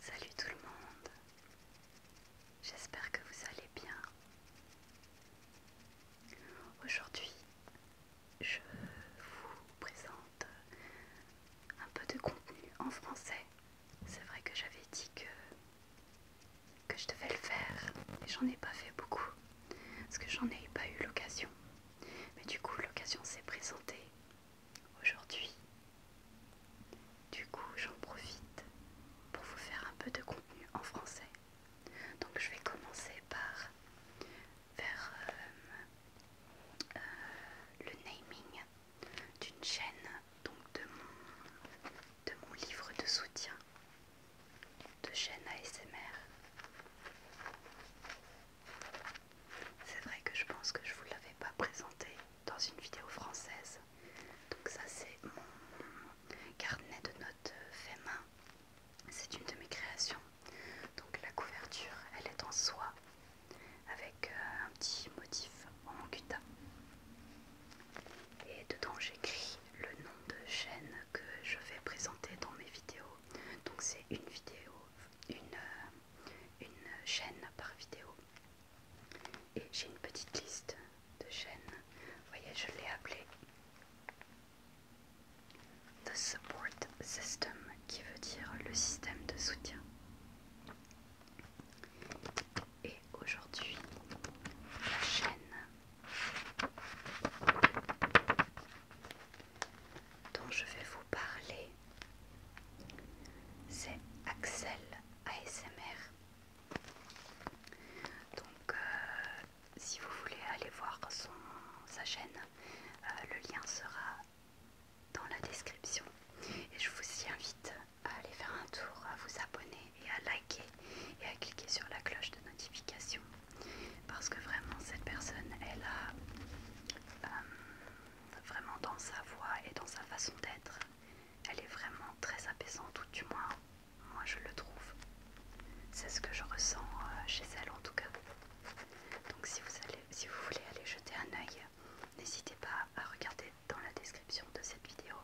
Salut tout le monde, j'espère que vous allez bien. Aujourd'hui, je vous présente un peu de contenu en français. C'est vrai que j'avais dit que que je devais le faire, mais j'en ai pas fait beaucoup parce que j'en ai pas eu l'occasion. Mais du coup, l'occasion s'est présentée aujourd'hui. Du coup, j'en profite pour vous faire un peu de contenu en français. Donc, je vais commencer par faire euh, euh, le naming d'une chaîne, donc de mon de mon livre de soutien de chaîne ASMR. C'est vrai que je pense que je vous l'avais pas présenté dans une vidéo française. Donc ça c'est mon carnet de notes euh, fait main. C'est une de mes créations. Donc la couverture, elle est en soie avec euh, un petit motif en manguta. Et dedans j'écris le nom de chaîne que je vais présenter dans mes vidéos. Donc c'est une vidéo, une, euh, chaîne par vidéo. Et j'ai une petite liste de chaînes. Vous voyez, je l'ai appelé The Support System qui veut dire le système de soutien. Et aujourd'hui, la chaîne dont je vais vous parler, c'est Axel ASMR. Donc, euh, si vous voulez aller voir sa chaîne, euh, le lien sera dans la description et je vous y invite à aller faire un tour, à vous abonner et à liker et à cliquer sur la cloche de notification parce que vraiment cette personne elle a euh, vraiment dans sa voix et dans sa façon d'être elle est vraiment très apaisante ou du moins moi je le trouve c'est ce que je ressens euh, chez elle en tout cas donc si vous, allez, si vous voulez aller jeter un oeil n'hésitez pas à regarder dans la description de cette vidéo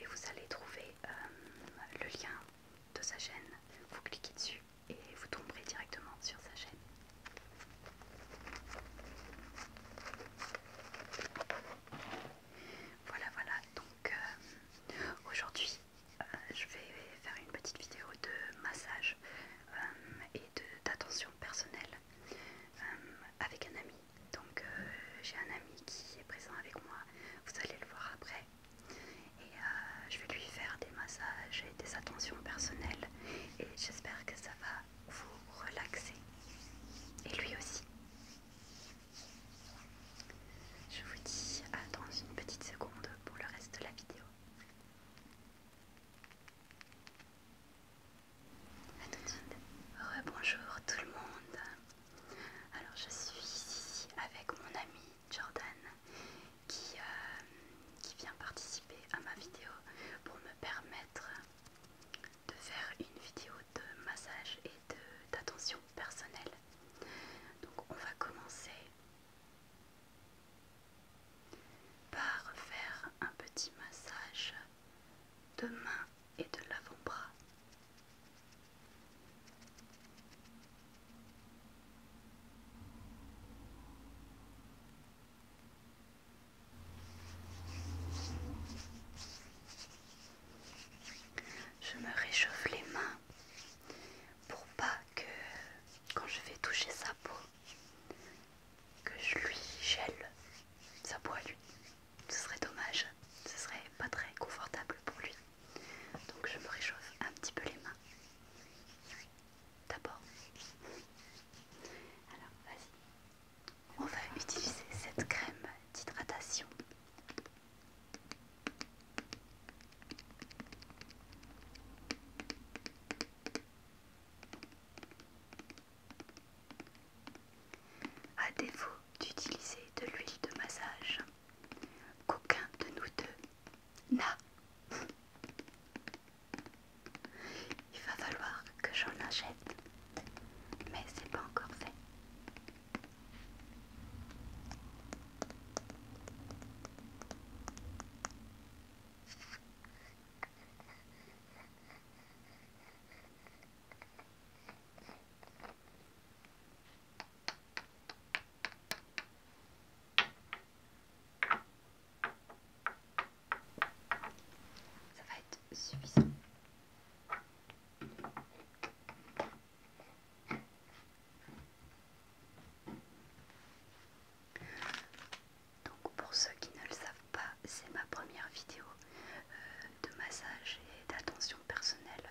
et vous allez trouver euh, le lien de sa chaîne. Vous cliquez dessus et vous tomberez directement sur sa chaîne. Voilà, voilà. Donc euh, aujourd'hui, euh, je vais faire une petite vidéo de massage et d'attention personnelle avec un ami. Donc euh, j'ai un ami qui est présent avec moi, vous allez le voir après. Et euh, je vais lui faire des massages et des attentions personnelles. Et j'espère que ça va vous relaxer. Et lui aussi. Je vous dis à dans une petite seconde pour le reste de la vidéo. A tout de suite. Rebonjour tout le monde. Alors je suis ici avec mon ami Jordan qui, euh, qui vient participer à ma vidéo pour me permettre de faire une vidéo de massage et d'attention personnelle. Donc on va commencer par faire un petit massage de main et de l'avant-bras. Je me réchauffe les mains pour pas que quand je vais toucher sa peau que je lui gèle sa lui ce serait dommage, ce serait pas très confortable pour lui. Donc je me réchauffe un petit peu les mains. D'abord. Alors, vas-y. On va utiliser cette crème d'hydratation. À défaut d'utiliser de l'huile de massage, qu'aucun de nous deux n'a. Il va falloir que j'en achète, mais c'est pas encore fait. Ça va être suffisant. Donc pour ceux qui ne le savent pas, c'est ma première vidéo euh, de massage et d'attention personnelle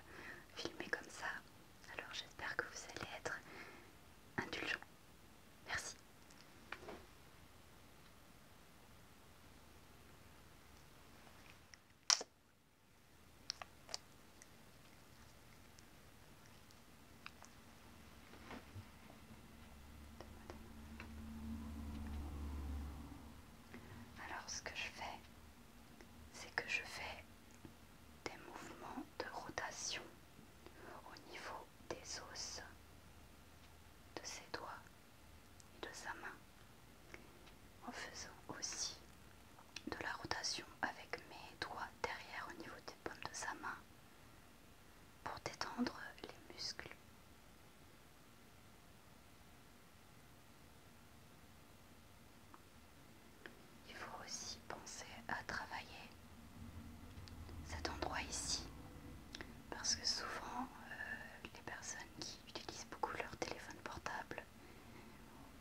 filmée comme ça. Alors j'espère que vous allez être indulgent. Merci. Alors ce que je fais, c'est que je fais des mouvements de rotation au niveau des os de ses doigts et de sa main en faisant aussi de la rotation avec mes doigts derrière au niveau des paumes de sa main pour détendre les muscles. Il faut aussi penser à travailler cet endroit ici, parce que souvent euh, les personnes qui utilisent beaucoup leur téléphone portable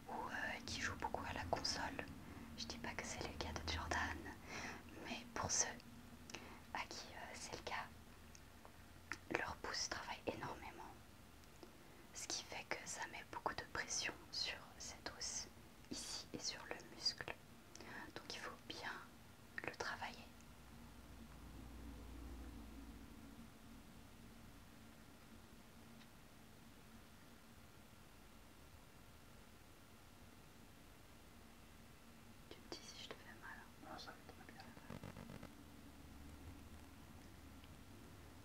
ou euh, qui jouent beaucoup à la console, je ne dis pas que c'est le cas de Jordan, mais pour ceux à qui euh, c'est le cas, leur pouce travaille énormément ce qui fait que ça met beaucoup de pression sur cette os ici et sur le muscle. Donc il faut bien le travailler. Tu me dis si je te fais mal. Hein. Travailler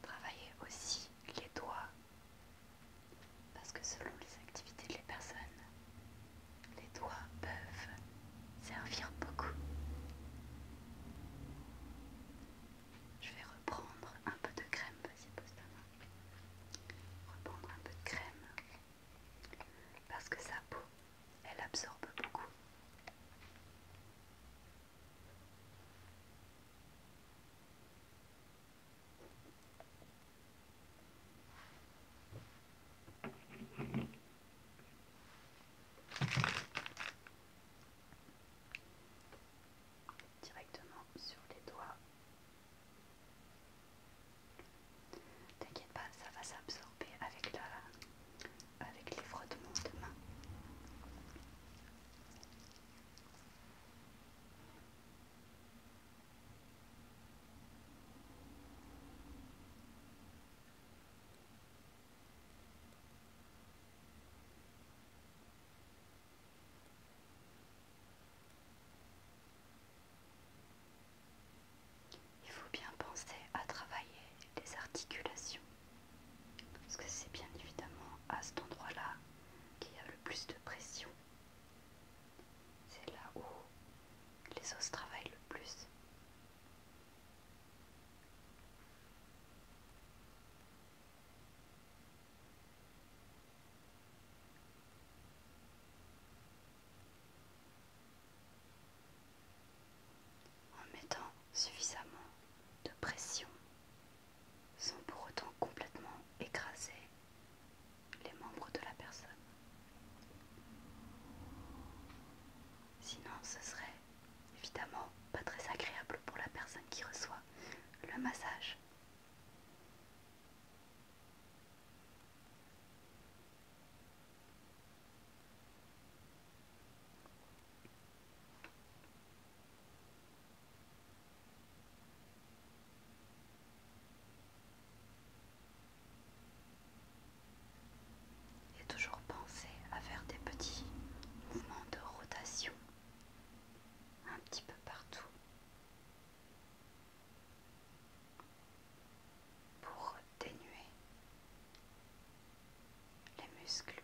Travaillez aussi les doigts, parce que selon les activités de les personnes, les doigts peuvent servir beaucoup. Je vais reprendre un peu de crème, Reprendre un peu de crème, parce que sa peau, elle absorbe beaucoup directement sur les doigts. T'inquiète pas, ça va s'absorber avec la, avec les frottements de main. Il faut bien penser à travailler les articulations parce que c'est bien évidemment à cet endroit-là qu'il y a le plus de pression. C'est là où les os travaillent le plus. En mettant suffisamment de pression sans pour autant complètement écraser les membres de la personne. Sinon, ce serait évidemment pas très agréable pour la personne qui reçoit le massage. Et toujours penser à faire des petits mouvements de rotation un petit peu partout pour dénuer les muscles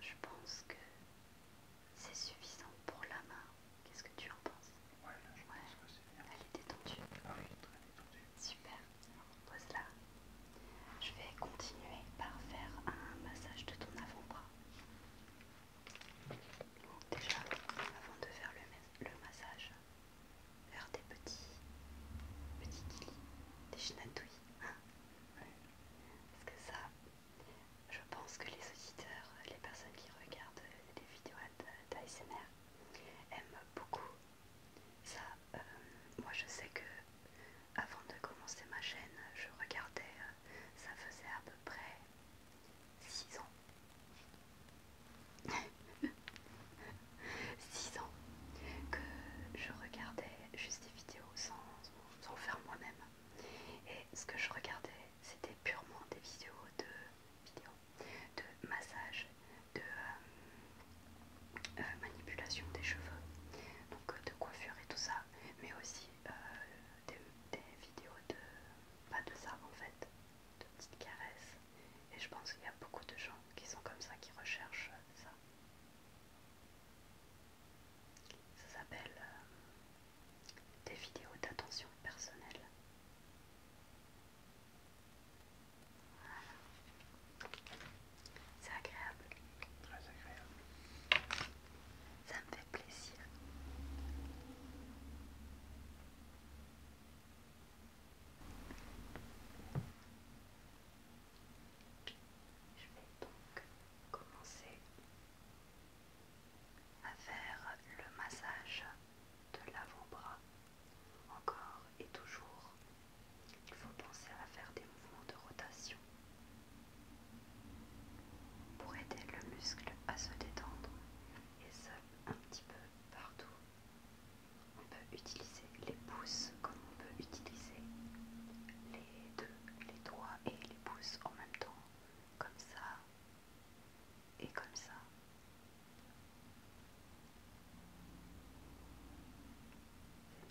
Je pense que c'est suffisant pour la main. Qu'est-ce que tu en penses Elle est détendue. Ah oui, très détendue. Super. pose Je vais continuer par faire un massage de ton avant-bras. Déjà, avant de faire le, massage, faire des petits, petits des chinatouilles. Hein. Parce que ça, je pense que les auditeurs, les personnes qui regardent les vidéos d'ASMR aiment beaucoup ça. Euh, moi, je sais que avant de commencer ma chaîne, je regardais, euh, ça faisait à peu près 6 ans. 6 ans que je regardais juste des vidéos sans, sans faire moi-même. Et ce que je regardais, c'était purement des vidéos de, vidéos, de massage, de euh, euh, manipulation des cheveux, donc euh, de coiffure et tout ça, mais aussi des, des vidéos de... pas de ça en fait, de petites caresses. Et je pense qu'il y a beaucoup de gens qui sont comme ça, qui recherchent ça. Ça s'appelle euh, des vidéos d'attention personnelle. C'est agréable. Très agréable. Ça me fait plaisir. Je vais donc commencer à faire le massage de l'avant-bras. Encore et toujours, il faut penser à faire des mouvements de rotation pour aider le muscle à se détendre et se un petit peu partout. On peut utiliser les pouces comme on peut utiliser les deux, les doigts et les pouces en même temps, comme ça et comme ça.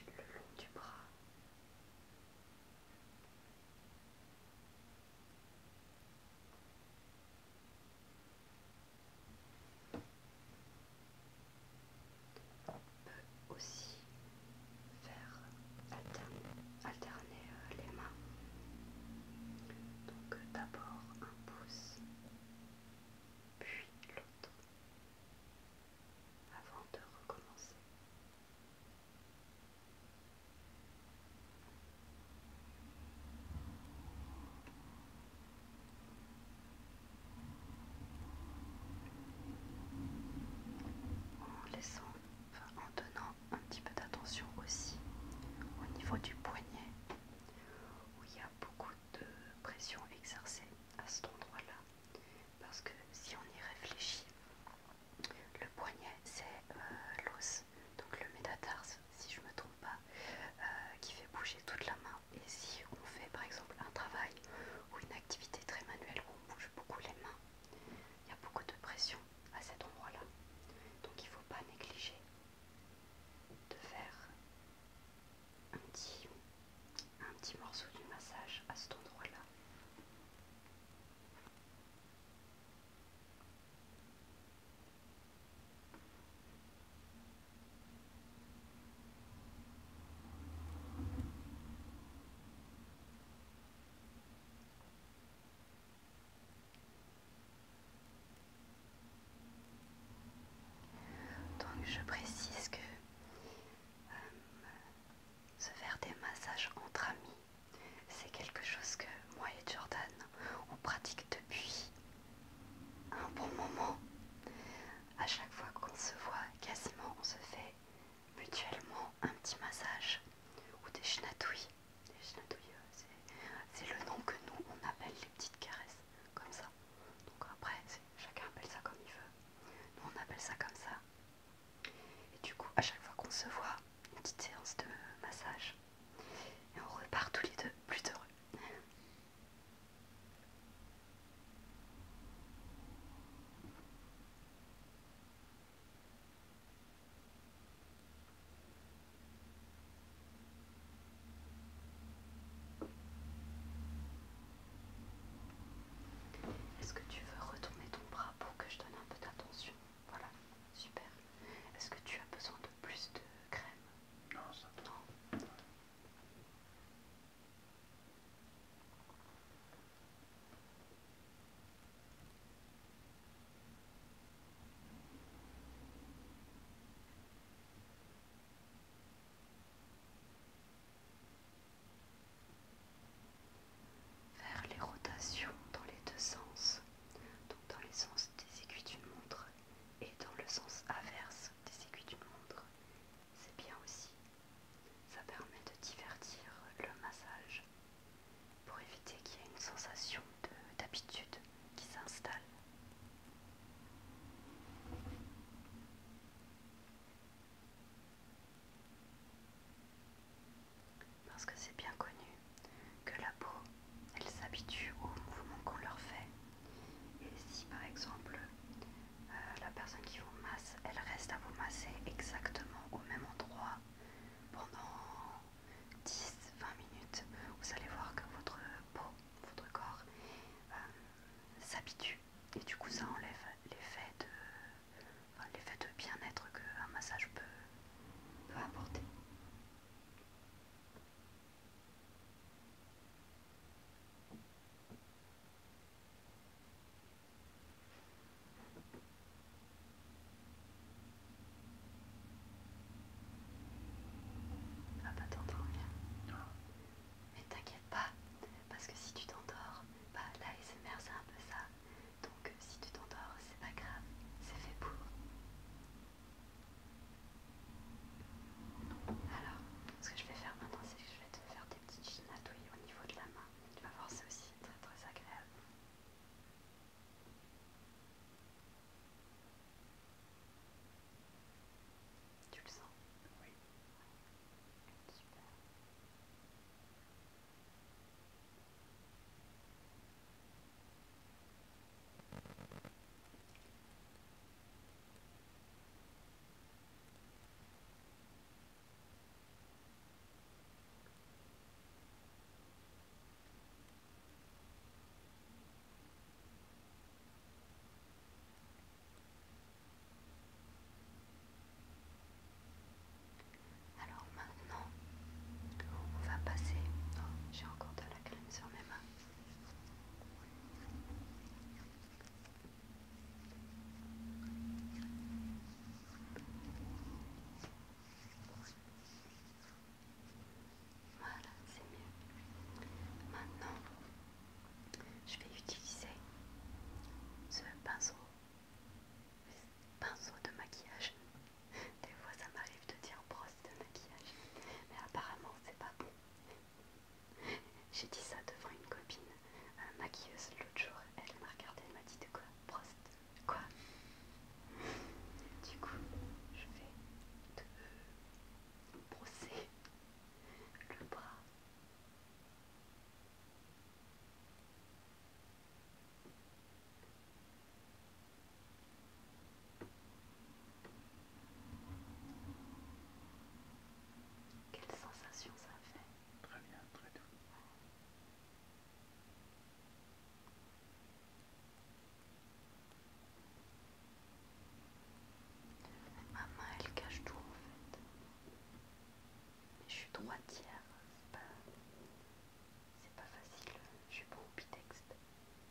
Le long du bras. On peut aussi faire alterner, euh, les mains. Donc euh, d'abord un pouce, puis l'autre, avant de recommencer. En laissant, en donnant un petit peu d'attention aussi au niveau du poignet où il y a beaucoup de pression exercée à cet endroit-là. Parce que si on y réfléchit, le poignet c'est euh, l'os donc le métatarse, si je me trompe pas, euh, qui fait bouger toute la main. Et si on fait par exemple un travail ou une activité très manuelle où on bouge beaucoup les mains, il y a beaucoup de pression à cet endroit-là. Donc il ne faut pas négliger de faire un petit morceau du massage à cet endroit-là. Donc je précise que euh, se faire des massages entre amis, c'est quelque chose que moi et Jordan, on pratique depuis un bon moment. À chaque fois qu'on se voit, quasiment on se fait mutuellement un petit massage ou des chinatouilles. Les chinatouilles, euh, c'est le nom que nous on appelle les petites caresses, comme ça. Donc après, chacun appelle ça comme il veut. Nous on appelle ça comme ça. Et du coup, à chaque fois qu'on se voit, une petite séance de massage. Et on repart tous les deux plus heureux. Est-ce que tu veux retourner ton bras pour que je donne un peu d'attention Voilà, super. Est-ce que tu as besoin de plus de crème vers les rotations dans les deux sens, donc dans les sens des aiguilles d'une montre et dans le sens inverse des aiguilles du montre. C'est bien aussi. Ça permet de divertir le massage pour éviter qu'il y ait une sensation d'habitude qui s'installe. Parce que c'est bien connu, que la peau, elle s'habitue au mouvement qu'on leur fait. Et si par exemple euh, la personne qui vous masse, elle reste à vous masser exactement au même endroit pendant 10-20 minutes, vous allez voir que votre peau, votre corps euh, s'habitue. Et du coup ça enlève l'effet de, l'effet de bien-être qu'un massage peut apporter. Ah pas bah, t'entendre Mais t'inquiète pas, parce que si tu t'endors, bah là SMR c'est un peu ça. Donc si tu t'endors, c'est pas grave, c'est fait pour. Alors, ce que je vais faire maintenant, c'est que je vais te faire des petites natouilles au niveau de la main. Tu vas voir, c'est aussi très très agréable. Tu le sens Oui. Super. Alors maintenant, on va passer. Oh, j'ai encore de la crème sur mes mains. Voilà, c'est mieux. Maintenant, je vais utiliser ce pinceau, pinceau de maquillage. Des fois, ça m'arrive de dire bon, de maquillage. Mais apparemment, c'est pas bon. J'ai dit ça devant une copine maquilleuse l'autre jour. Elle m'a regardé, elle m'a dit de quoi Brosse quoi Du coup, je vais te brosser le bras. Quelle sensation ça fait Très bien, très doux. Ah, ma main elle cache tout en fait. Mais je suis droitière, c'est pas, pas facile, je suis pas au pitexte.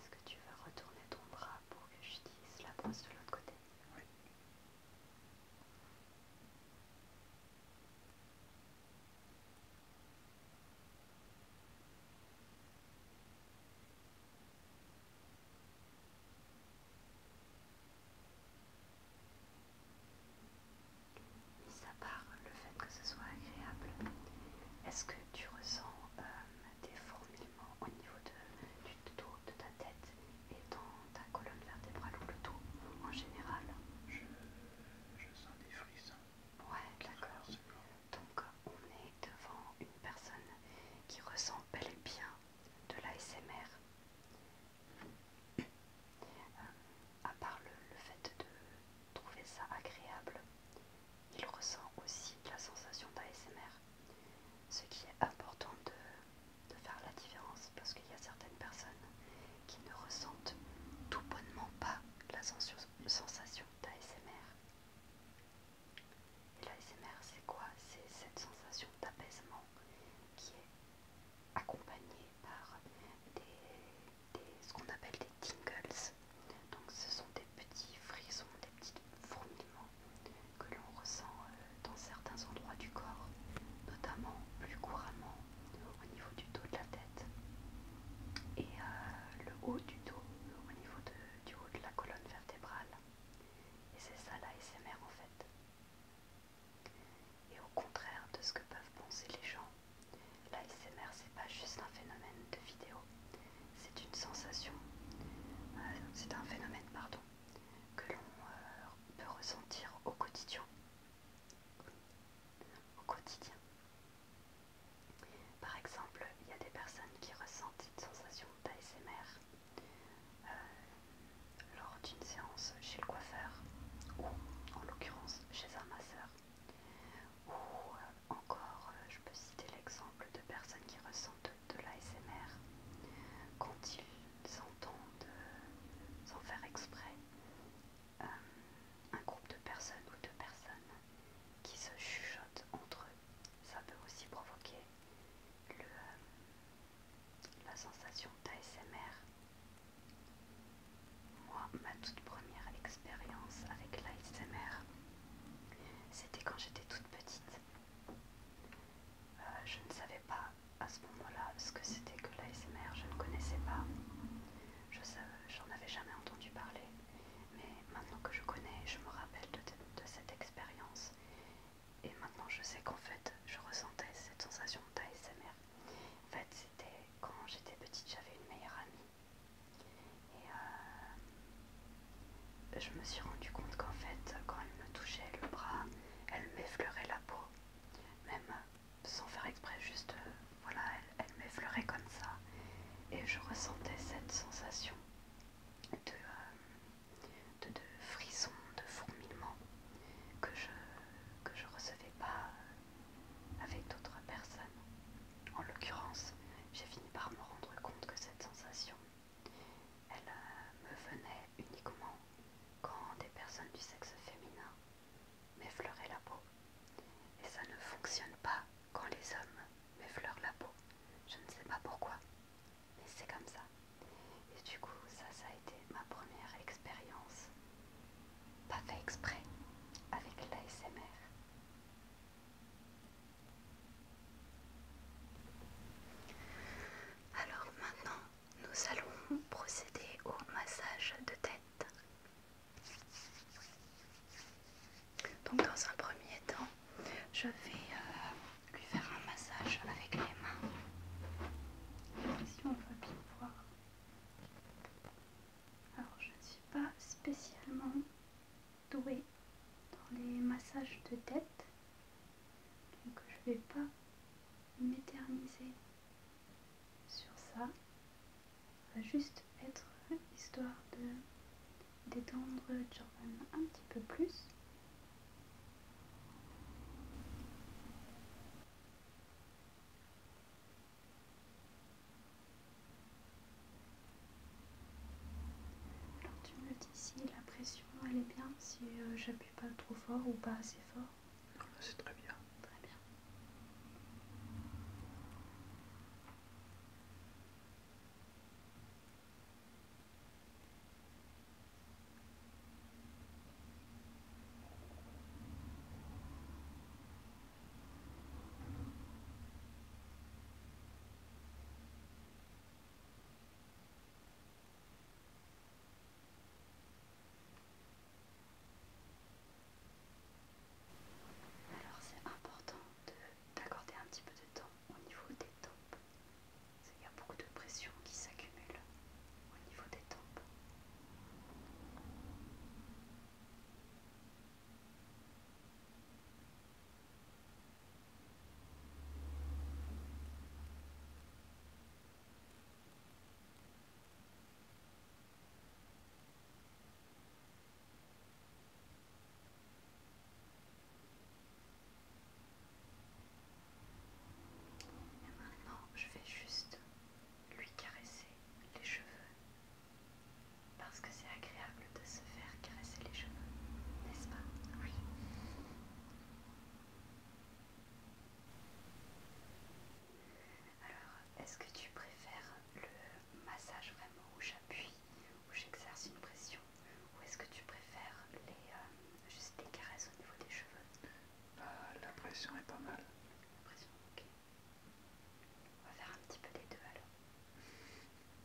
Est-ce que tu veux retourner ton bras pour que je dise la brosse de l'autre côté mis à part le fait que ce soit agréable, est-ce que tu ressens euh, des fourmillements au niveau du dos de ta tête et dans ta colonne vertébrale ou le dos en général Je, sens des frissons. Ouais, d'accord. Donc on est devant une personne qui ressent bel et bien de l'ASMR. Euh, à part le fait de trouver ça agréable. Il ressent aussi la sensation d'ASMR, ce qui est important de, faire la différence parce qu'il y a certaines personnes qui ne ressentent tout bonnement pas la sensation d'ASMR. Et l'ASMR, c'est quoi C'est cette sensation d'apaisement qui est accompagnée par des ce qu'on appelle des tingles. Donc ce sont des petits frissons, des petits fourmillements que l'on ressent euh, dans certains endroits du corps, notamment plus couramment au niveau du dos de la tête et euh, le haut du dos, au niveau du haut de la colonne vertébrale. Et c'est ça la SMR en fait. Et au contraire de ce que peuvent penser les gens, L'ASMR, c'est pas juste un phénomène de vidéo, c'est une sensation, euh, c'est un phénomène, pardon, que l'on euh, peut ressentir au quotidien. Par exemple, il y a des personnes qui ressentent une sensation d'ASMR euh, lors d'une séance chez le coiffeur ou en l'occurrence chez un masseur. Ou euh, encore, euh, je peux citer l'exemple de personnes qui ressentent de, l'ASMR quand ils entendent, euh, sans faire exprès, un groupe de personnes ou deux personnes qui se chuchotent entre eux. Ça peut aussi provoquer la sensation d'ASMR. Moi, ma toute première expérience avec l'ASMR, c'était quand j'étais toute petite. Euh, je ne savais pas à ce moment-là ce que c'était que l'ASMR, je ne connaissais pas. Je avais jamais entendu parler. Mais maintenant que je connais, je me rappelle de, de cette expérience. Et maintenant je sais qu'en fait, je ressentais cette sensation d'ASMR. En fait, c'était quand j'étais petite, j'avais une meilleure amie et euh, je me suis rendu compte qu'en fait, quand elle me touchait le bras, elle m'effleurait la peau, même euh, sans faire exprès, juste euh, voilà, elle, m'effleurait comme ça. Et je ressentais cette sensation de, de, frisson, de fourmillement que je, ne recevais pas avec d'autres personnes. En l'occurrence, j'ai fini par me rendre compte que cette sensation, elle euh, me venait uniquement quand des personnes du sexe féminin m'effleuraient la peau. Et ça ne fonctionne pas quand les hommes m'effleurent la peau. Je ne sais pas pourquoi, mais c'est comme ça. Et du coup, ça, ça a été ma première expérience, pas fait exprès, avec l'ASMR. Alors maintenant, nous allons procéder au massage de tête. Donc dans un premier temps, je vais euh, lui faire un massage avec les mains. Si on veut bien voir. Alors je ne suis pas spécialement doué dans les massages de tête, donc je vais pas m'éterniser sur ça. Ça va juste être histoire de détendre Jordan un petit peu plus. Alors tu me dis si la pression elle est bien, si euh, j'appuie pas trop fort ou pas assez fort. Ah bah, c'est Très bien. Alors c'est important d'accorder un petit peu de temps au niveau des tempes. Il y a beaucoup de pression qui s'accumule au niveau des tempes maintenant, je vais juste lui caresser les cheveux parce que c'est agréable de se faire caresser les cheveux, n'est-ce pas Oui. Alors, est-ce que tu préfères le massage vraiment où j'appuie, où j'exerce une pression, ou est-ce que tu préfères les, euh, juste les caresses au niveau des cheveux bah, La pression est pas mal. La pression, ok. On va faire un petit peu des deux alors.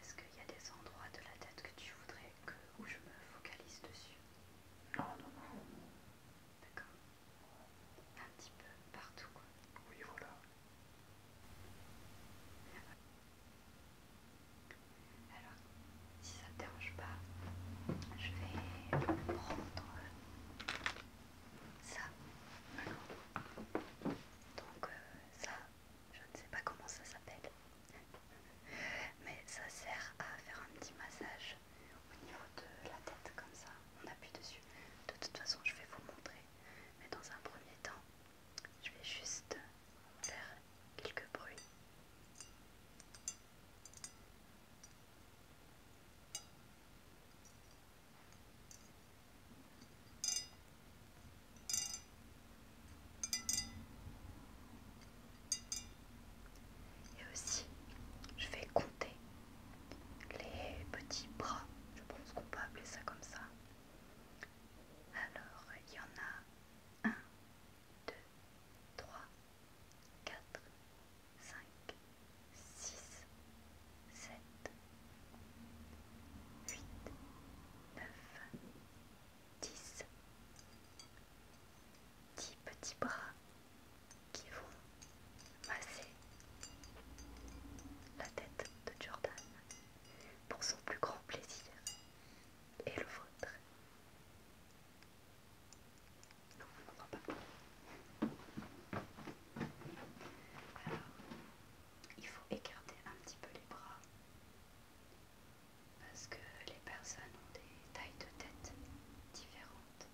Est-ce qu'il y a des endroits de la tête que tu voudrais que je me focalise dessus Non, non, non. D'accord. Un petit peu partout quoi. Oui, voilà. Alors, si ça ne te dérange pas, je vais prendre ça. Donc euh, ça, je ne sais pas comment ça s'appelle. Mais ça sert à faire un petit massage au niveau de la tête comme ça. On appuie dessus. De toute façon, je vais vous montrer mais dans un premier temps, je vais juste faire quelques bruits. Et aussi, je vais compter les petits bras, je pense qu'on peut appeler ça comme ça, alors, il y en a 1, 2, 3, 4, 5, 6, 7, 8, 9, 10, 10 petits bras qui vont masser la tête de Jordan pour son plus grand plaisir et le vôtre. Alors, il faut écarter un petit peu les bras parce que les personnes ont des tailles de tête différentes.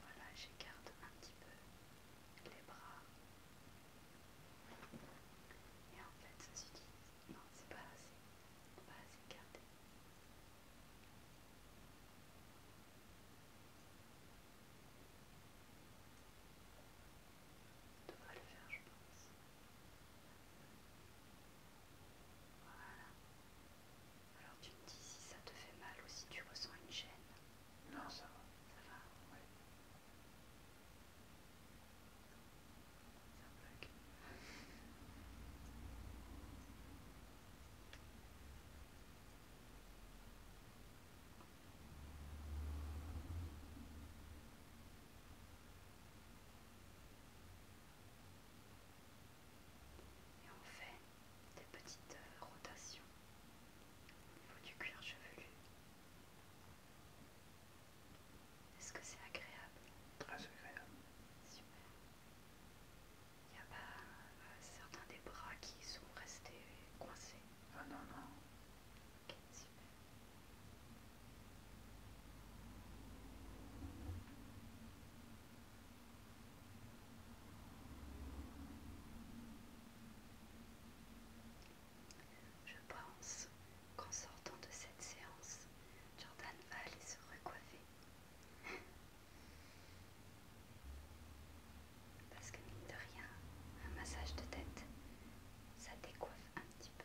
Voilà, j'écarte un petit peu les bras. Et en fait, ça s'utilise. Non, c'est pas assez. Pas assez gardé. On devrait le faire, je pense. Voilà. Alors tu me dis si ça te fait mal ou si tu ressens une gêne. Non, ça va. Ça va Et on fait des petites euh, rotations niveau du cuir chevelu. Est-ce que c'est agréable ah, Très agréable. Super. Il n'y a pas euh, certains des bras qui sont restés coincés Ah non, non. Ok, super. Je pense qu'en sortant de cette séance, Jordan va aller se recoiffer. Parce que mine de rien, un massage de tête, ça décoiffe un petit peu.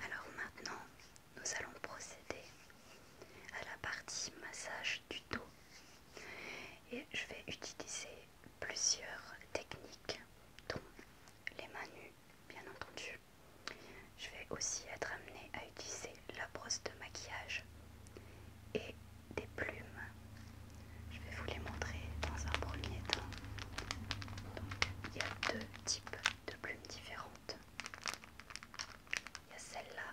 Alors maintenant, nous allons procéder à la partie massage du dos et je vais utiliser plusieurs techniques, dont les mains nues, bien entendu. Je vais aussi être amenée à utiliser la brosse de maquillage et des plumes. Je vais vous les montrer dans un premier temps. Donc, il y a deux types de plumes différentes. Il y a celle-là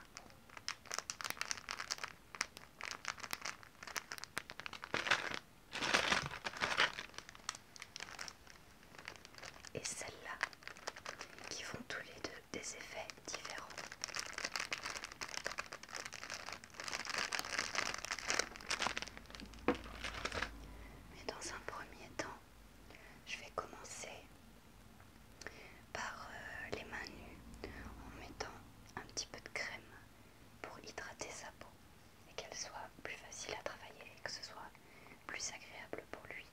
et celle-là qui font tous les deux des effets différents. Mais dans un premier temps, je vais commencer par euh, les mains nues en mettant un petit peu de crème pour hydrater sa peau et qu'elle soit plus facile à travailler et que ce soit plus agréable pour lui.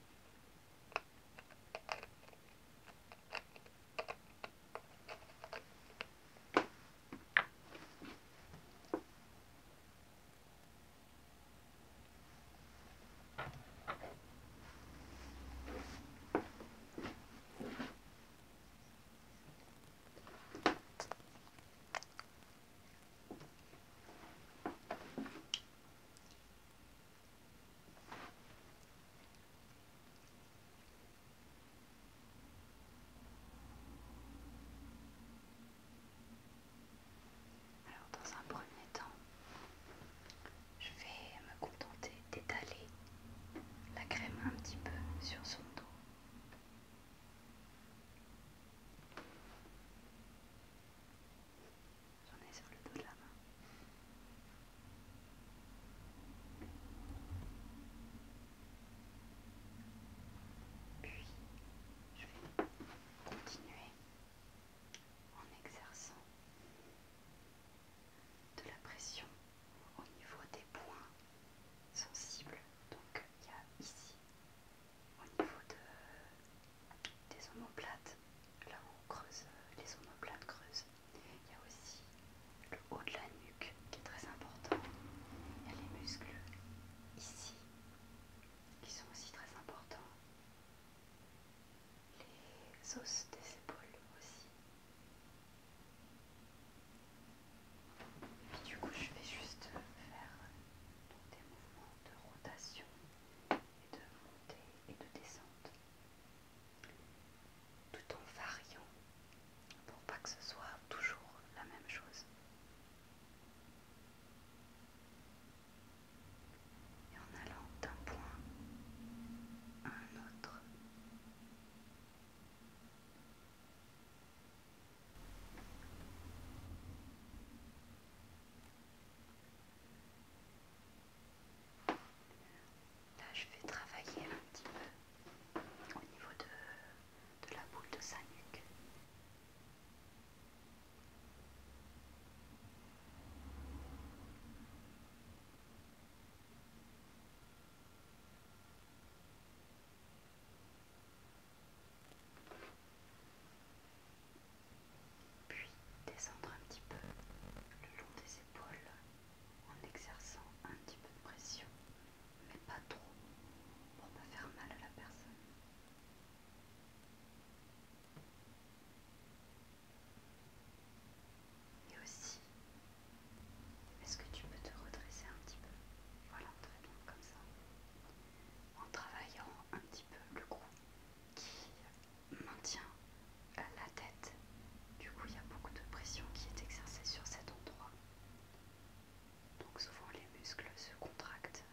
Alors dans un premier temps, je vais me contenter d'étaler la crème un petit peu sur son dos. J'en ai sur le dos de la main. Puis, je vais continuer en exerçant de la pression au niveau des points sensibles, donc il y a ici, au niveau de, des omoplates, là où on creuse, euh, les omoplates creusent. Il y a aussi le haut de la nuque qui est très important. Il y a les muscles ici qui sont aussi très importants. Les os des épaules aussi. Puis du coup, je vais juste faire des mouvements de rotation et de montée et de descente tout en variant pour pas que ce soit toujours la même chose. Et en allant d'un point à un autre. Là, je vais travailler un petit peu au niveau de, la boule de sa nuque. Puis descendre un petit peu le long des épaules en exerçant un petit peu de pression, mais pas trop pour ne faire mal à la personne. Et aussi, est-ce que tu peux te redresser un petit peu Voilà, très bien, comme ça en travaillant un petit peu le cou qui maintient euh, la tête. Du coup, il y a beaucoup de pression qui est exercée sur cet endroit. Donc souvent les muscles se contractent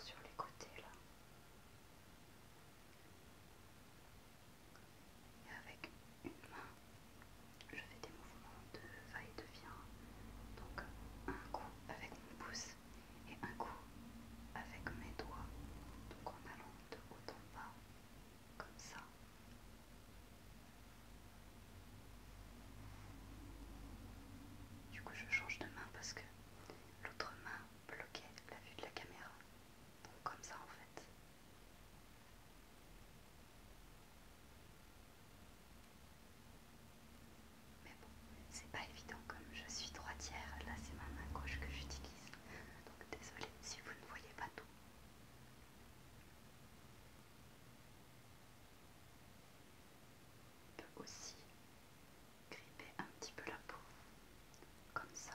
sur les côtés là. Et avec une main, je fais des mouvements de va et de vient, donc un coup avec mon pouce et un coup avec mes doigts, donc en allant de haut en bas, comme ça. Du coup, je change de main parce que l'autre main bloquait la vue de la caméra. Donc, comme ça en fait. Mais bon, c'est pas évident comme je suis droitière, là c'est ma main gauche que j'utilise. Donc désolé si vous ne voyez pas tout. On peut aussi gripper un petit peu la peau, comme ça.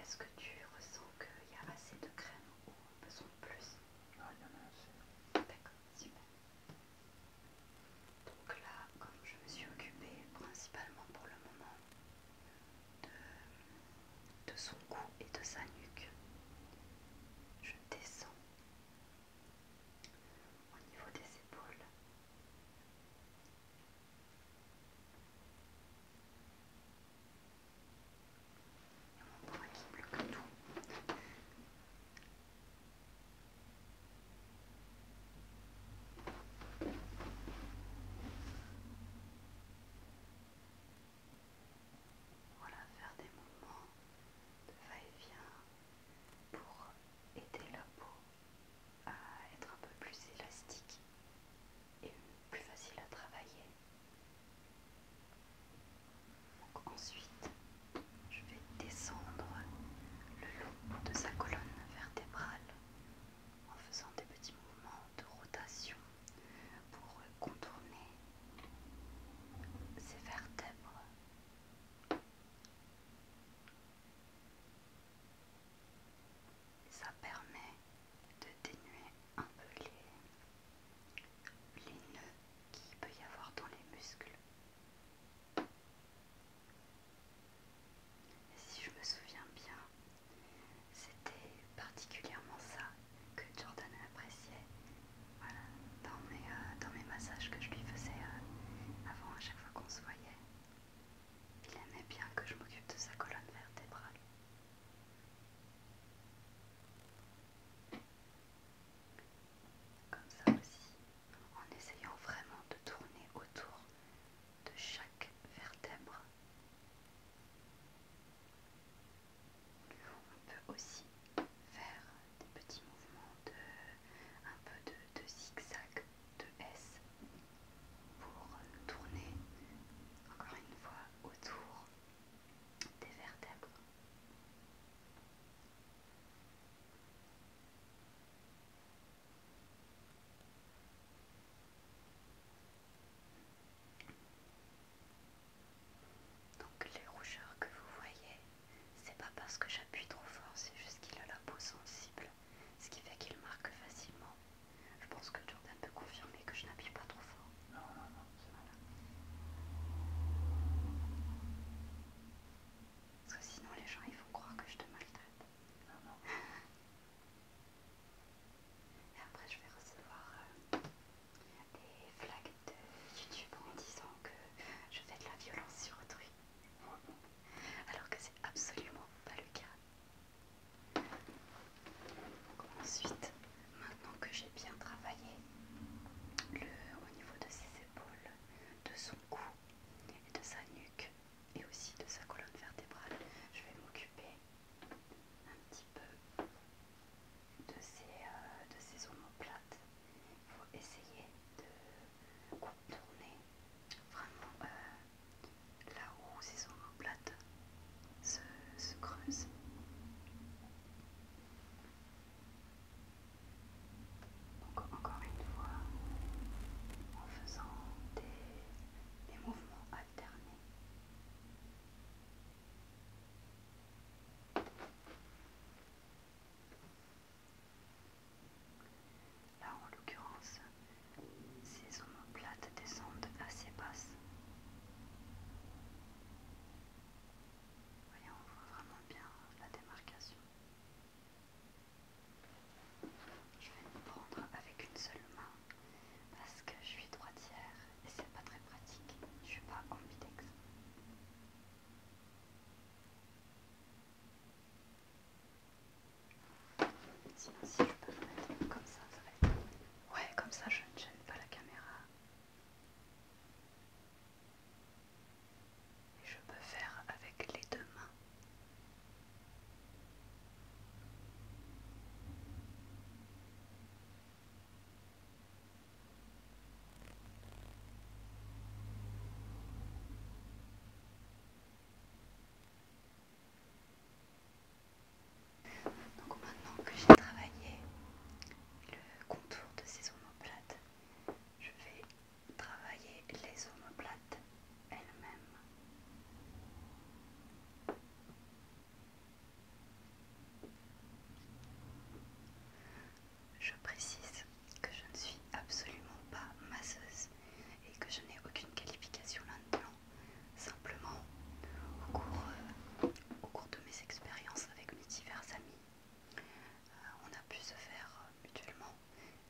Est-ce que tu ressens qu'il y a assez de crème ou besoin de plus Non, non, non, c'est D'accord, Donc là, comme je me suis occupée principalement pour le moment de, de son cou et de sa nuque, je descends au niveau des épaules. Et mon bras qui bloque tout. Voilà, faire des mouvements de va-et-vient pour aider la peau à être un peu plus élastique et plus facile à travailler. ensuite, je vais descendre le long de sa colonne vertébrale en faisant des petits mouvements de rotation pour contourner ses vertèbres ça permet de dénuer un peu les, nœuds qu'il peut y avoir dans les muscles. si je me souviens bien, c'était particulièrement ça que Jordan appréciait euh, dans mes, massages que je lui faisais euh, avant, à chaque fois qu'on se voyait, il aimait bien que je m'occupe de sa colonne vertébrale. Comme ça aussi, en essayant vraiment de tourner autour de chaque vertèbre. On peut aussi faire des petits mouvements de, un peu de, de zigzag, de S pour tourner encore une fois autour des vertèbres. Donc les rougeurs que vous voyez, c'est pas parce que j'appuie trop fort, c'est juste qu'il a la peau sensible, ce qui fait qu'il marque facilement. Je pense que Jordan peut confirmer que je n'appuie pas trop fort. Non, non, non, Parce que sinon les gens ils vont croire que je te maltraite. Non, non. Et après je vais recevoir euh, des flags de YouTube en disant que je fais de la violence sur autrui alors que c'est absolument pas le cas. Ensuite, maintenant que j'ai bien travaillé au niveau de ses épaules, de son cou et de sa nuque et aussi de sa colonne vertébrale, je vais m'occuper un petit peu de ses, euh, de ses omoplates faut essayer de contourner vraiment euh, là où ces omoplates se, se creusent. encore une fois, en faisant des mouvements alternés. Là, en l'occurrence, ces omoplates descendent assez basses. Voyez, on voit vraiment bien la démarcation. Je vais me prendre avec une seule main parce que je suis droitière et c'est pas très pratique. Je suis pas ambidex si je peux le mettre comme ça, ça va être. Ouais, comme ça, je ne gêne pas la caméra. Et je peux faire avec les deux mains. Donc maintenant que j'ai travaillé le contour de ces omoplates, je vais travailler les omoplates elles-mêmes. Je précise que je ne suis absolument pas masseuse et que je n'ai aucune qualification là-dedans. Simplement, au cours, euh, au cours de mes expériences avec mes divers amis, euh, on a pu se faire euh, mutuellement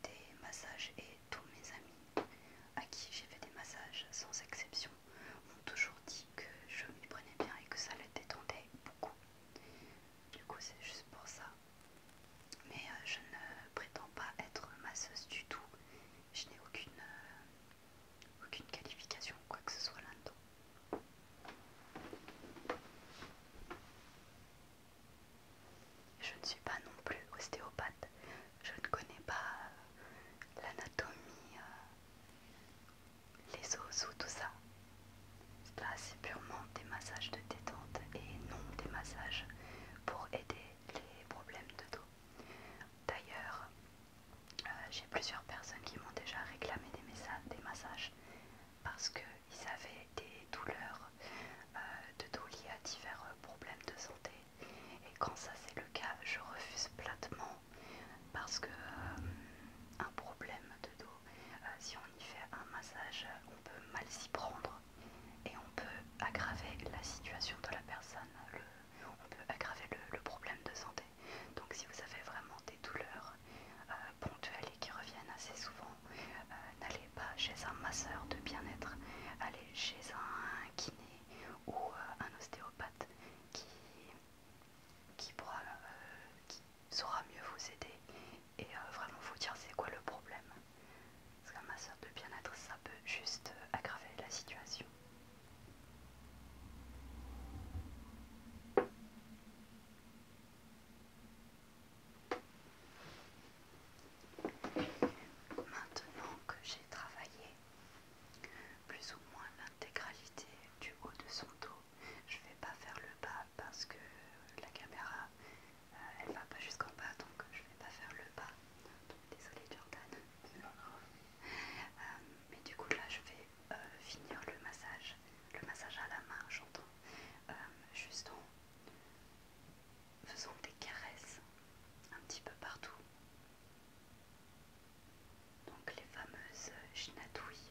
des massages et tous mes amis à qui j'ai fait des massages sans exception m'ont toujours dit que je m'y prenais bien et que ça les détendait beaucoup. Du coup, c'est juste pour ça mais euh, je ne prétends pas être masseuse du tout. Je n'ai aucune, euh, aucune qualification quoi que ce soit là-dedans. Je ne suis pas non plus ostéopathe. Je ne connais pas euh, l'anatomie, les os ou tout ça. Là, c'est purement des massages de détente et non des massages pour aider les problèmes de dos. D'ailleurs, euh, j'ai plusieurs personnes qui m'ont déjà réclamé des, massages parce qu'ils avaient des douleurs euh, de dos liées à divers euh, problèmes de santé. Et quand ça c'est le cas, je refuse platement parce que un problème de dos euh, si on y fait un massage, on peut mal s'y prendre et on peut aggraver la situation de la personne, on peut aggraver le, problème de santé. Donc si vous avez vraiment des douleurs euh, ponctuelles et qui reviennent assez souvent, euh, n'allez pas chez un masseur de bien-être, allez chez un kiné ou un ostéopathe qui, pourra, qui saura mieux vous aider et euh, vraiment faut dire c'est quoi le problème. Parce ma masseur de bien-être, ça peut juste euh, aggraver la situation. Maintenant que j'ai travaillé plus ou moins l'intégralité du haut de son dos, je ne vais pas faire le bas parce que la caméra euh, elle va pas jusqu'en bas donc je vais pas faire le pas. Donc, désolée Jordan. Euh, mais du coup là je vais euh, finir le massage, le massage à la main j'entends, juste en faisant des caresses un petit peu partout. Donc les fameuses chinatouilles.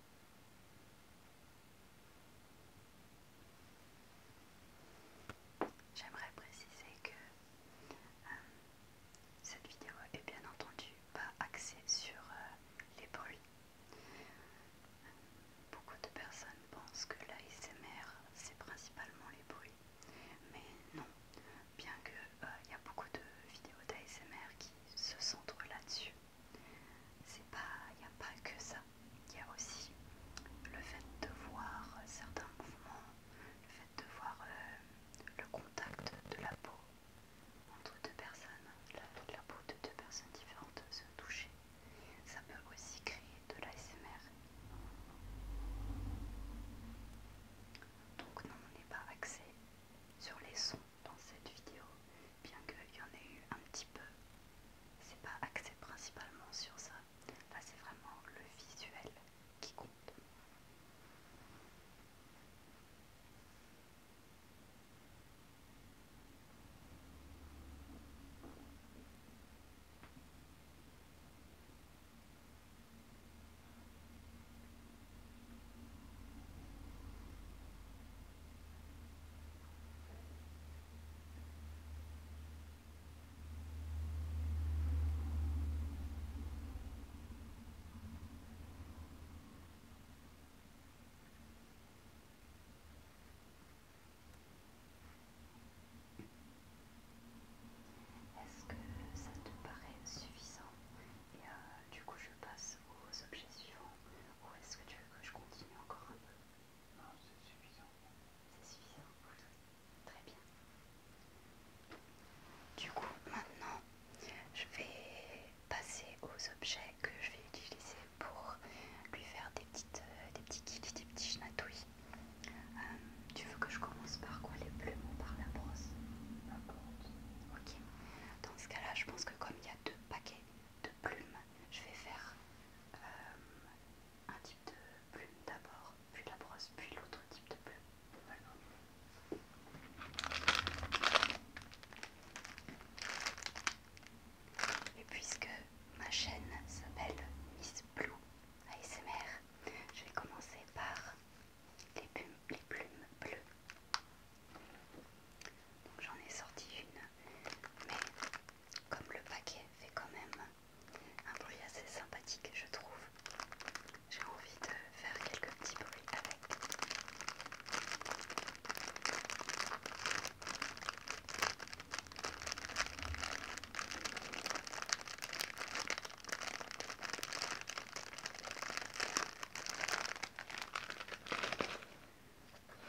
J'aimerais préciser que euh, cette vidéo est bien entendu pas axée sur euh, les bruits. Beaucoup de personnes pensent que l'ASMR c'est principalement les bruits, mais non, bien que euh, il y a beaucoup de vidéos d'ASMR qui se centrent là-dessus, c'est pas, il n'y a pas que ça. Il y a aussi le fait de voir certains mouvements, le fait de voir euh, le contact de la peau entre deux personnes, la, la peau de deux personnes différentes se toucher. Ça peut aussi créer de l'ASMR. Donc non, on n'est pas axé sur les sons dans cette vidéo, bien qu'il y en ait eu un petit peu. C'est pas axé principalement sur ça. Là, c'est vraiment le visuel qui compte. Est-ce que ça te paraît suffisant Et euh, du coup, je passe aux objets suivants ou est-ce que tu veux que je continue encore un peu Non, c'est suffisant. C'est suffisant Très bien. Du coup, maintenant, je vais passer aux objets que je vais utiliser pour lui faire des, petites, euh, des petits kits des petits genatouilles euh, tu veux que je commence par quoi Les plumes ou par la brosse N'importe. Ok. Dans ce cas-là, je pense que comme il y a deux paquets, de plumes. Je vais faire euh, un type de plume d'abord, puis la brosse, puis l'autre type de plume. Et puisque ma chaîne s'appelle Miss Blue ASMR, je vais commencer par les les plumes bleues j'en ai sorti une, mais comme le paquet fait quand même un bruit assez sympathique, je trouve, j'ai envie de faire quelques petits bruits avec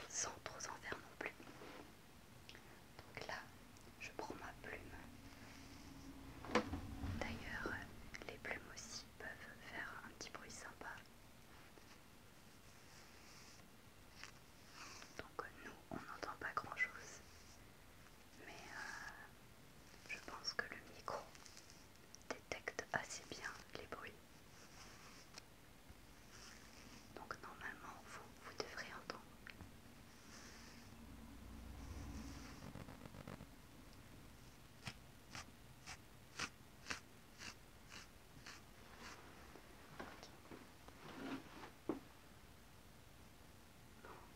sans trop en faire non plus. Donc là, je prends ma plume. D'ailleurs, les plumes aussi peuvent faire un petit bruit sympa. Donc euh, nous, on n'entend pas grand-chose. Mais euh, je pense que le micro détecte assez bien les bruits. Donc normalement, vous, devrez entendre.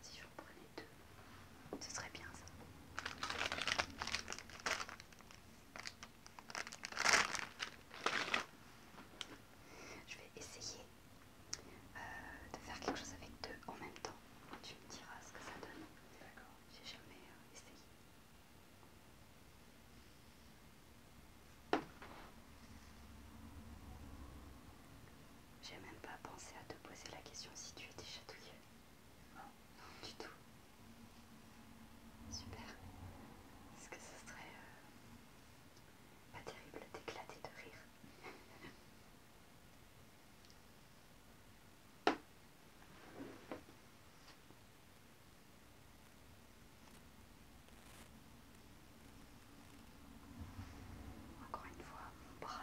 si je prenais deux, ce serait bien ça. Je vais essayer euh, de faire quelque chose avec deux en même temps. Tu me diras ce que ça donne. D'accord. J'ai jamais euh, essayé. J'ai même pas pensé à te poser la question si tu étais chatouilleux. Non, non du tout. Super. Est-ce que ce serait euh, pas terrible d'éclater de rire Encore une fois, mon bras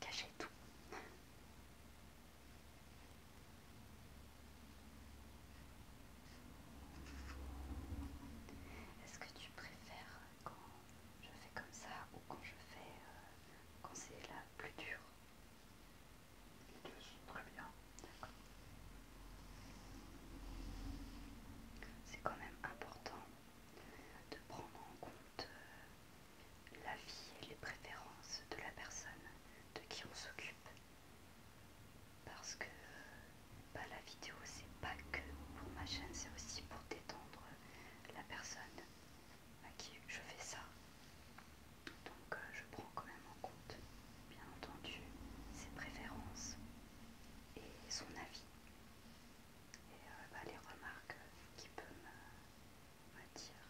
cachait tout. Est-ce que tu préfères quand je fais comme ça ou quand je fais euh, quand c'est la plus dure Les deux sont très bien. D'accord. C'est quand même important de prendre en compte euh, la vie et les préférences de la personne de qui on s'occupe parce que bah, la vidéo c'est pas que pour ma chaîne, c'est aussi pour détendre la personne à qui je fais ça. Donc euh, je prends quand même en compte, bien entendu, ses préférences et son avis. Et euh, bah, les remarques qu'il peut me dire.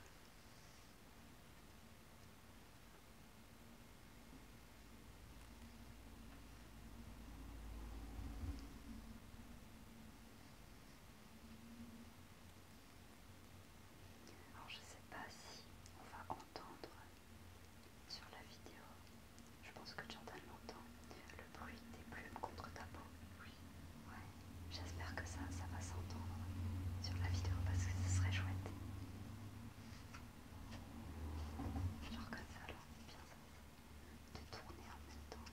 Alors je sais pas si on va entendre sur la vidéo, je pense que Jordan l'entend, le bruit des plumes contre ta peau. Oui. J'espère que ça, ça va s'entendre sur la vidéo parce que ce serait chouette. Genre comme alors bien ça. De tourner en même temps.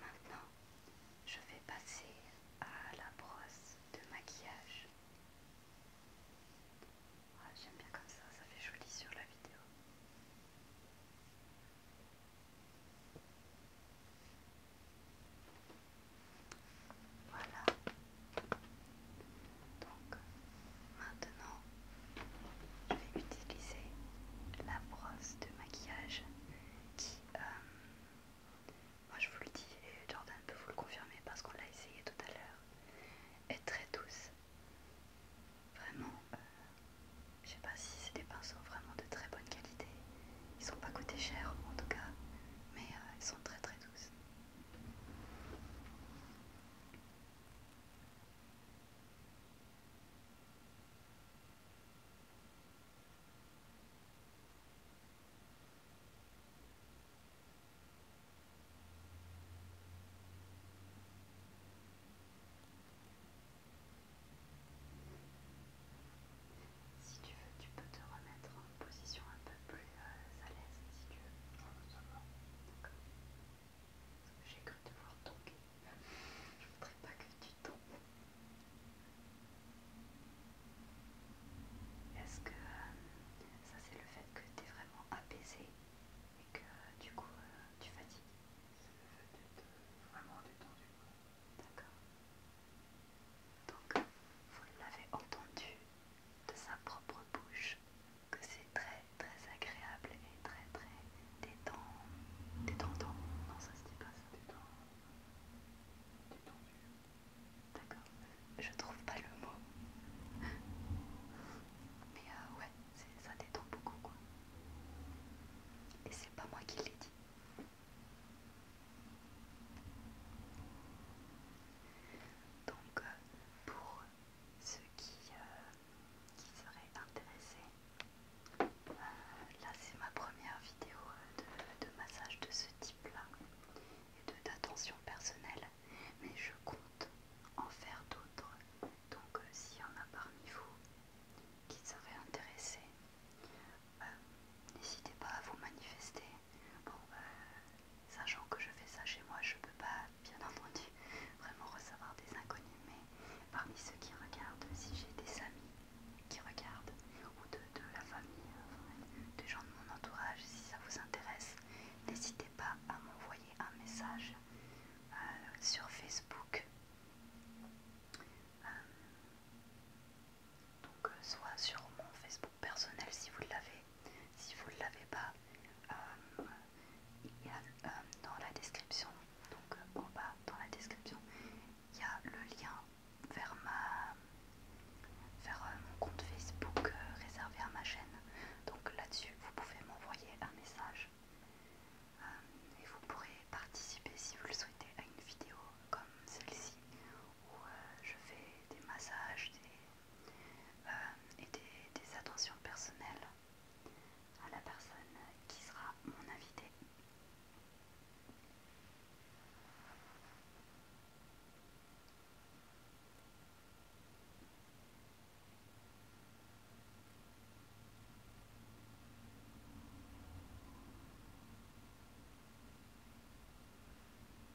Maintenant, je vais passer à la brosse de maquillage. Ah, j'aime bien comme ça, ça fait joli sur la vidéo. Voilà. Donc maintenant, je vais utiliser la brosse de maquillage qui, euh, moi je vous le dis et Jordan peut vous le confirmer parce qu'on l'a essayé tout à l'heure, est très douce. Vraiment, je euh, je sais pas si c'est des pinceaux vraiment de très bonne qualité ils sont pas coûté cher en tout cas, mais euh, ils sont très très douces. Si tu veux, tu peux te remettre en position un peu plus euh, à l'aise si tu veux. ça va. D'accord. J'ai cru te voir tomber. Je voudrais pas que tu tombes. Est-ce que euh, ça c'est le fait que tu es vraiment apaisé et que du coup euh, tu fatigues C'est le fait d'être vraiment détendu. D'accord Donc, vous l'avez entendu de sa propre bouche que c'est très très agréable et très très détendant. Détendant Non, ça se dit pas ça. Détendu. D'accord. Je trouve pas le mot. Mais euh, ouais, ça détend beaucoup quoi. Et c'est pas moi qui l'ai dit. Donc, euh, pour ceux qui, euh, seraient intéressés, euh, là c'est ma première vidéo de, massage de ce type-là et d'attention personnelle, mais je compte en faire d'autres. Donc, s'il y en a parmi vous qui seraient intéressés, n'hésitez pas à vous manifester bon, bah, sachant que je fais ça chez moi, je peux pas, bien entendu, vraiment recevoir des inconnus, mais parmi ceux qui regardent, si j'ai des amis qui regardent, ou de, la famille, euh, des gens de mon entourage, si ça vous intéresse, n'hésitez pas à m'envoyer un message euh, sur Facebook. Euh, donc, soit sur mon Facebook personnel si vous l'avez. Si vous ne l'avez pas, euh, il y a euh, dans la description, donc euh, en bas dans la description, il y a le lien vers, ma, vers mon compte Facebook réservé à ma chaîne. Donc là-dessus, vous pouvez m'envoyer un message et vous pourrez participer si vous le souhaitez à une vidéo comme celle-ci où je fais des massages euh, et des, des attentions personnelles à la personne qui sera mon invitée.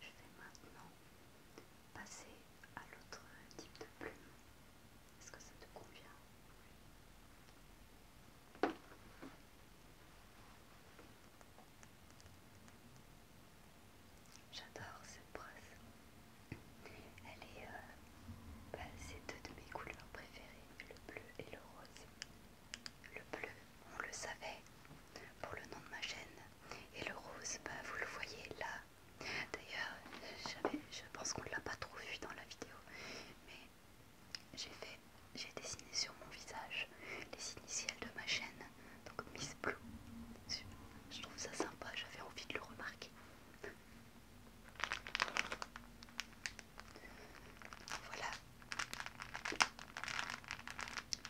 Je vais maintenant passer à l'autre type de plume. Est-ce que ça te convient J'adore cette brosse. Elle est, euh, bah, c'est deux de mes couleurs préférées, le bleu et le rose. Le bleu, on le savait, pour le nom de ma chaîne. Et le rose, bah, vous le voyez là. D'ailleurs, je pense qu'on ne l'a pas trop vu dans la vidéo. Mais j'ai fait, j'ai dessiné sur mon visage les initiales de ma chaîne. Donc Miss Blue. Je trouve ça sympa, j'avais envie de le remarquer. Voilà,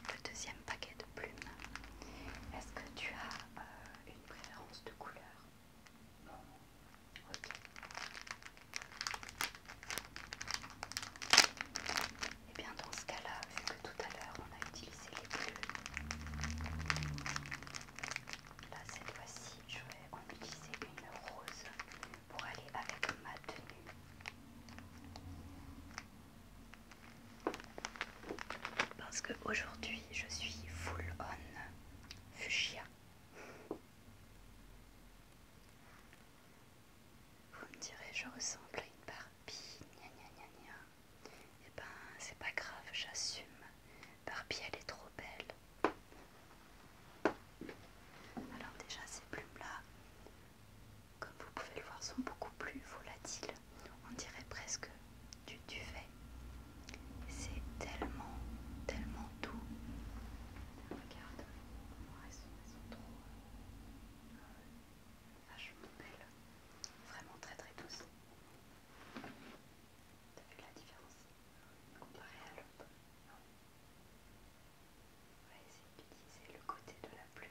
le deuxième paquet de plumes. Est-ce que tu as euh, une préférence de couleur Non. Ok. Et eh bien dans ce cas-là, vu que tout à l'heure on a utilisé les bleus, là cette fois-ci je vais en utiliser une rose pour aller avec ma tenue. Parce que aujourd'hui je suis full on fuchsia. Vous me direz, je ressemble à une Barbie, gna gna gna gna. Eh ben, c'est pas grave, j'assume. Barbie, elle est trop belle. Alors, déjà, ces plumes-là, comme vous pouvez le voir, sont beaucoup plus volatiles. On dirait presque du duvet. C'est tellement, tellement doux. Regarde, elles sont, trop euh, vachement belles. Vraiment très très douces. T'as vu la différence comparée à l'autre on va essayer d'utiliser le côté de la plume.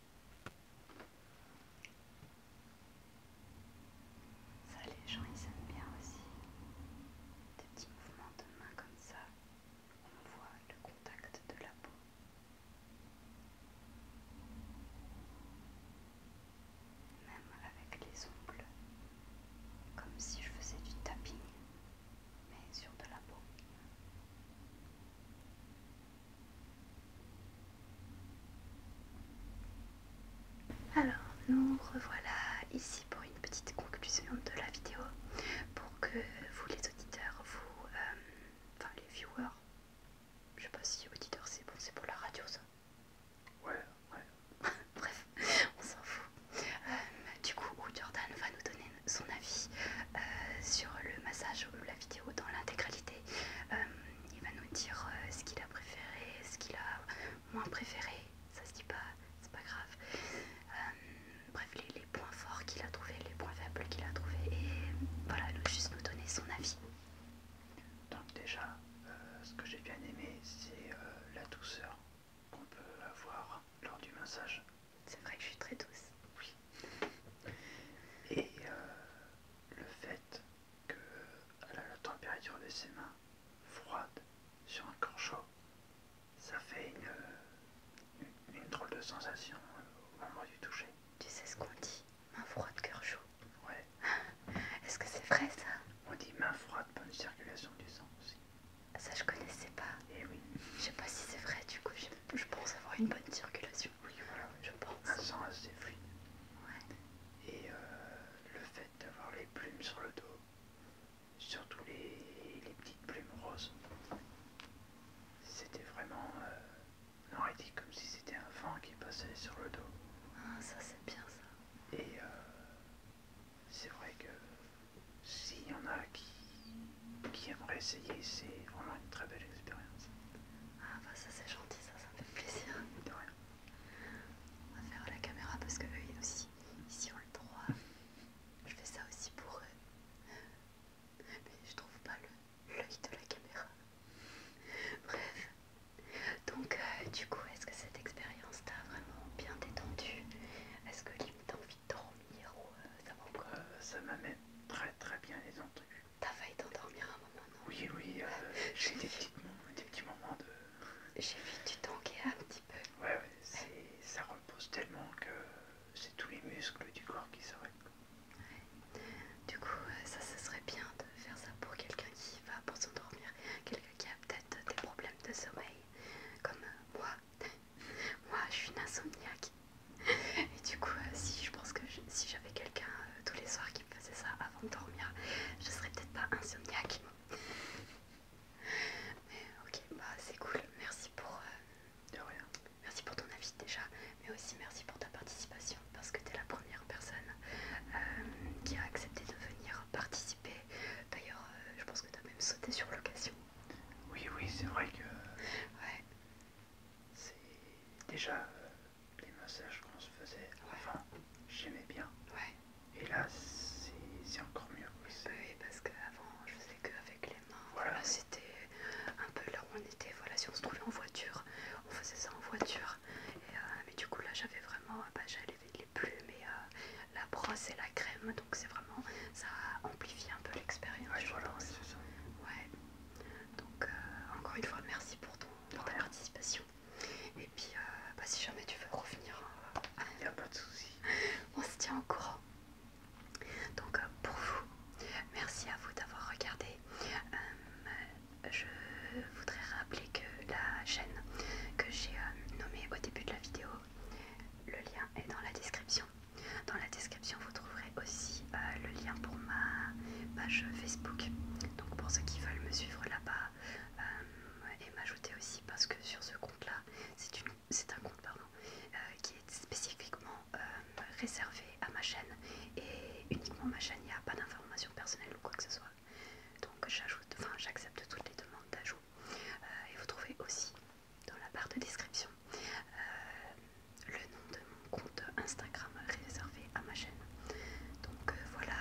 Ça, les gens ils aiment bien aussi. Des petits mouvements de main comme ça. On voit le contact de la peau. Même avec les ongles. Comme si je faisais du tapping, mais sur de la peau. Alors, nous revoilà ici pour une petite conclusion de la vidéo pour que vous, les auditeurs, vous, euh, enfin les viewers, je sais pas si auditeurs c'est bon, c'est pour la radio ça. Ouais, ouais. Bref, on s'en fout. Euh, du coup, Jordan va nous donner son avis euh, sur le massage ou la vidéo dans l'intégralité. Euh, il va nous dire euh, ce qu'il a préféré, ce qu'il a moins préféré. Ça se dit pas, c'est pas grave. Euh, bref, les, points forts qu'il a trouvés, les points faibles qu'il a trouvés. Et voilà, juste nous donner son avis. Donc déjà, ce que j'ai bien aimé, c'est la douceur qu'on peut avoir lors du massage. C'est vrai que je suis très douce. Oui. Et le fait que la température de ses mains froides sur un corps chaud, ça fait une, une, drôle de sensation au moment du toucher. Tu sais ce qu'on dit Mains froide, cœur chaud. Ouais. Est-ce que c'est vrai ça On dit mains froide, bonne circulation du sang aussi. Ça je connaissais pas. Et eh oui. Je sais pas si c'est vrai du coup, je pense avoir une bonne circulation. Oui voilà. Je pense. Un sang assez fluide. Ouais et euh, le fait d'avoir les plumes sur le dos, surtout les, petites plumes roses, c'était vraiment. on aurait dit comme si c'était un vent qui passait sur le dos. Ah, ça c'est bien ça. Et euh, c'est vrai que s'il y en a qui, qui aimeraient essayer, c'est vraiment une très belle expérience. Ah, bah ça c'est gentil, ça, ça me fait plaisir. On va faire la caméra parce que eux aussi, ici on le droit. Je fais ça aussi pour eux. Mais je trouve pas l'œil de la caméra. Bref. Donc euh, du coup, est-ce que cette expérience t'a vraiment bien détendu Est-ce que t'as envie de dormir euh, ça m'amène euh, Ça très très bien détendu. T'as failli t'endormir un moment, Oui, oui, euh, j'ai des, petits moments de... J'ai vu tu tanguer un petit peu. Ouais, ça repose tellement que c'est tous les muscles du corps qui s'arrêtent. Du coup, euh, ça, serait bien de faire ça pour quelqu'un qui va pour s'endormir, quelqu'un qui a peut-être des problèmes de sommeil, comme euh, moi. moi, je suis une insomniaque. Et du coup, si je pense que si j'avais quelqu'un tous les soirs qui faisait ça avant de dormir. Je serais peut-être pas insomniaque. Mais ok, bah c'est cool. Merci pour. Euh, merci pour ton avis déjà, mais aussi merci pour ta participation parce que t'es la première personne euh, qui a accepté de venir participer. D'ailleurs, euh, je pense que t'as même sauté sur l'occasion. Oui, oui, c'est vrai que. Ouais. C'est déjà les massages qu'on se faisait avant, j'aimais bien. Et là, c'est encore mieux. oui, parce qu'avant, je faisais avec les mains. c'était un peu là où on était. Voilà, si on se trouvait en voiture, on faisait ça en voiture. Euh, mais du coup, là, j'avais vraiment, bah, j'allais les plumes mais euh, la brosse et la crème. Donc, c'est vraiment, ça amplifie un peu l'expérience. Ouais, voilà, Donc, euh, encore une fois, merci pour, ton, pour ta participation. Et puis, euh, bah, si jamais tu veux revenir, euh, il n'y a pas de souci. On se tient au courant. Donc, euh, pour vous, merci à vous d'avoir regardé. je voudrais rappeler que la chaîne que j'ai nommée au début de la vidéo, le lien est dans la description. Dans la description, vous trouverez aussi le lien pour ma page Facebook. Donc, pour ceux qui veulent me suivre là-bas euh, et m'ajouter aussi parce que sur ce compte-là, c'est un compte pardon, euh, qui est spécifiquement euh, réservé à ma chaîne et uniquement ma chaîne, il n'y a pas d'informations personnelles ou quoi que ce soit. Donc j'ajoute, enfin j'accepte toutes les demandes d'ajout. et vous trouvez aussi dans la barre de description le nom de mon compte Instagram réservé à ma chaîne. Donc euh, voilà.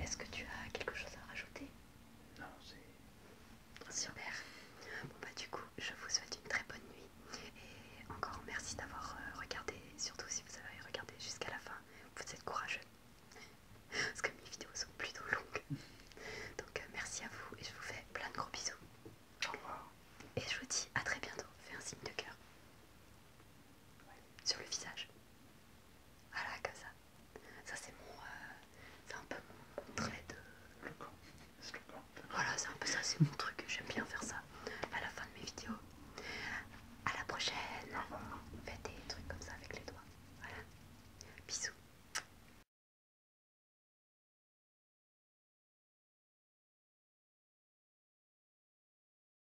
Est-ce que tu as quelque chose à rajouter Non, c'est... Super. Bon bah du coup, je vous souhaite une très bonne nuit. Et encore merci d'avoir euh, regardé, surtout si vous avez regardé jusqu'à la fin. Vous êtes courageux. Parce que mes vidéos sont plutôt longues. Donc euh, merci à vous et je vous fais plein de gros bisous. Et je vous dis à très bientôt. Fais un signe de cœur sur le visage. Voilà, comme ça. Ça, c'est mon. Euh, c'est un peu mon trait de. Le camp. Voilà, c'est un peu ça, c'est mon truc. J'aime bien faire ça à la fin de mes vidéos. À la prochaine. Faites des trucs comme ça avec les doigts. Voilà. Bisous.